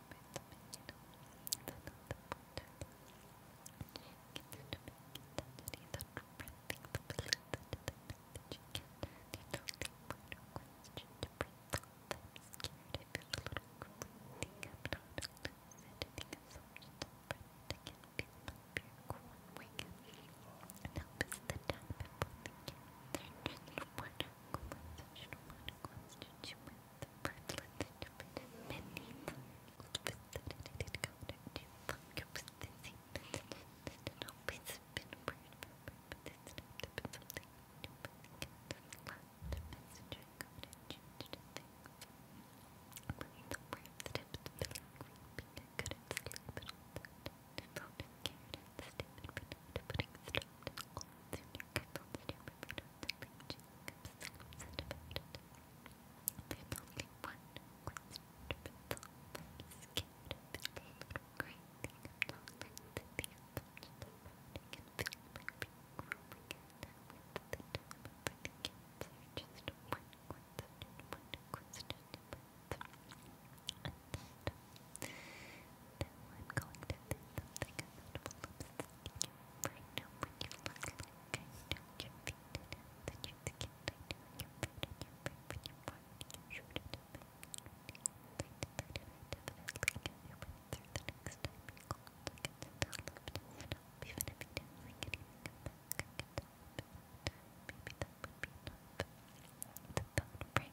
Help is the judgment, prevalent independent, many visited counter to your position, and always been prayed for purposes to be something new, but the messenger counter changed things. When the worm steps feeling creepy, I couldn't sleep at all that night, I felt scared and stupid, but to putting stuff to all the There's only one question to resolve. I'm scared of this little grey thing. I'm not letting the thing touch the road. I can feel my feet growing and with the time for the kids are just one question, one question, one question that. I'm going to do something about lipstick. Right now, when you look like I know your feet and that your skin, I know your feet and your brain, but your body, your shoulder, and your back. I definitely get your way through the next time you call. I can still lift it up, even if you didn't like anything about it. I can still lift it up. Maybe that would be enough. The phone rang.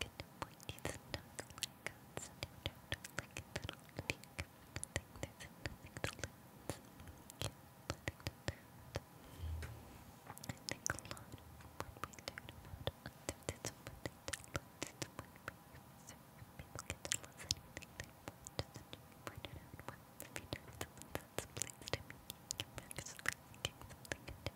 good pointy stuff like guns and you don't like it at all if you can think there's nothing to lose yeah, nothing to lose I think a lot of what we learn about others is something to lose it's when we serve people get to lose anything they want just you point it out once if you know someone that's pleased to me you can actually give something a different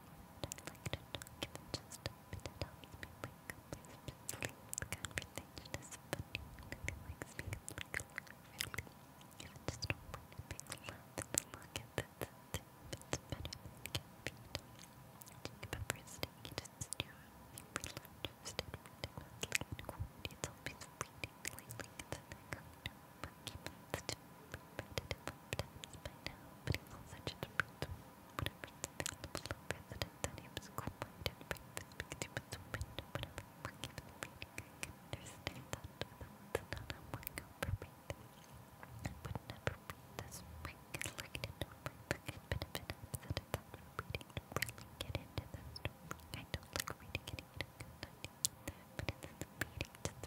like to talk even just a bit. It helps me wake up, I to sleep. The conversation is funny. Maybe like speak up like a laugh, really. Even just a really big laugh in the market that's it. It's better than caffeine. Take pepper steak, you just stew it. Every lunch, I've stayed ridiculously in quality. It's always reading lately. It's a thing I know, but keep it repetitive sometimes by now, but he's also just a person. Whenever something looks like president, that he was cooperated with because he was a win, whatever work he was reading, I can understand that, but that's not how I operate. I would never read this book, like it in my pocket, but if it upset about reading, really get into the story. I don't like reading it, I don't like it either, but it's the reading just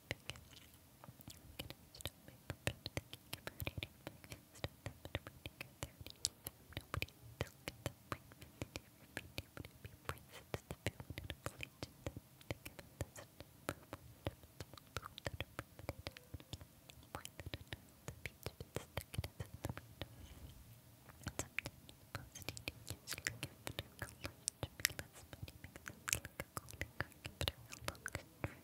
Sometimes Thank you.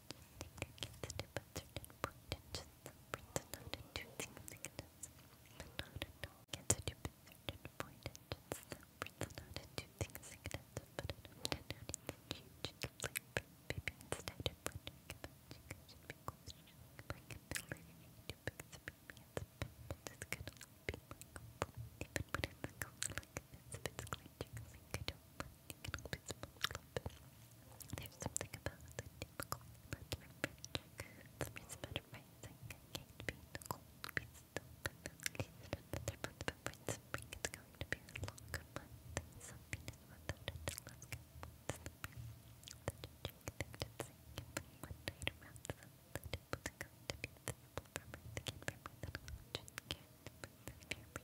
It's to a certain point and just separates not into significance. But not at all. Gets it to a certain point and just separates not into significance. But it often only changes like baby instead of wondering about you guys should be questioning like ability to experience but this could all be my goal. Even when I'm going like this, if it's glitching, like I don't there's something about the deep cold It's a better rising. can't be in be still, but at least another month before it's spring. It's going to be a longer month. Something is without it to look the breeze. Such a cheek that it's sinking from one night around the sun. That it was going to be visible from Earth. Can't remember that you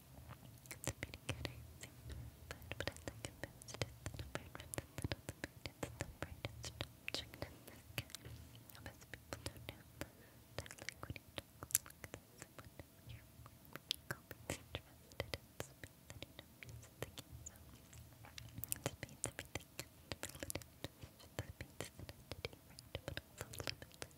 It's pretty good, I think. But, but I think it best is the number rather than the little bit. It's the brightest object in the sky. Most people don't know that. I like when you talk like this and when you're always interested in space and you know music thinking so. Space, everything, and relative to space and entity, right? But also limitless.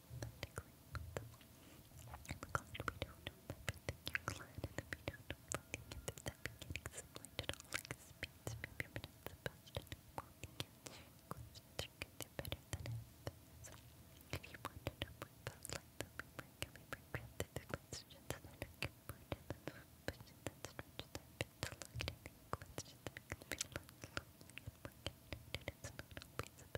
I'm glad we don't know everything you're glad and that we don't know everything and that that we're getting similar to all like speeds from your minutes about and walking answering questions are going to better than it is. If you want to know more about like the paper, can we bring through the questions that are important and the questions that stretch that fit to look at the questions that make me feel like lonely and more connected it's not always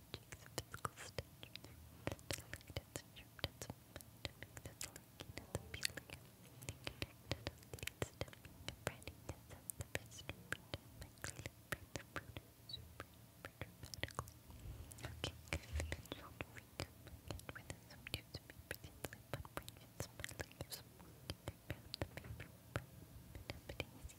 stitching, some physical stitching, delicate and sharp, that's lurking and appealing, connected on lead stepping and branding this as the best route, my clean brand the route super, super dramatically. Okay, conventional freedom, and whether some newspapers and sleep on branches, my leaves, walking around the paper, but happening is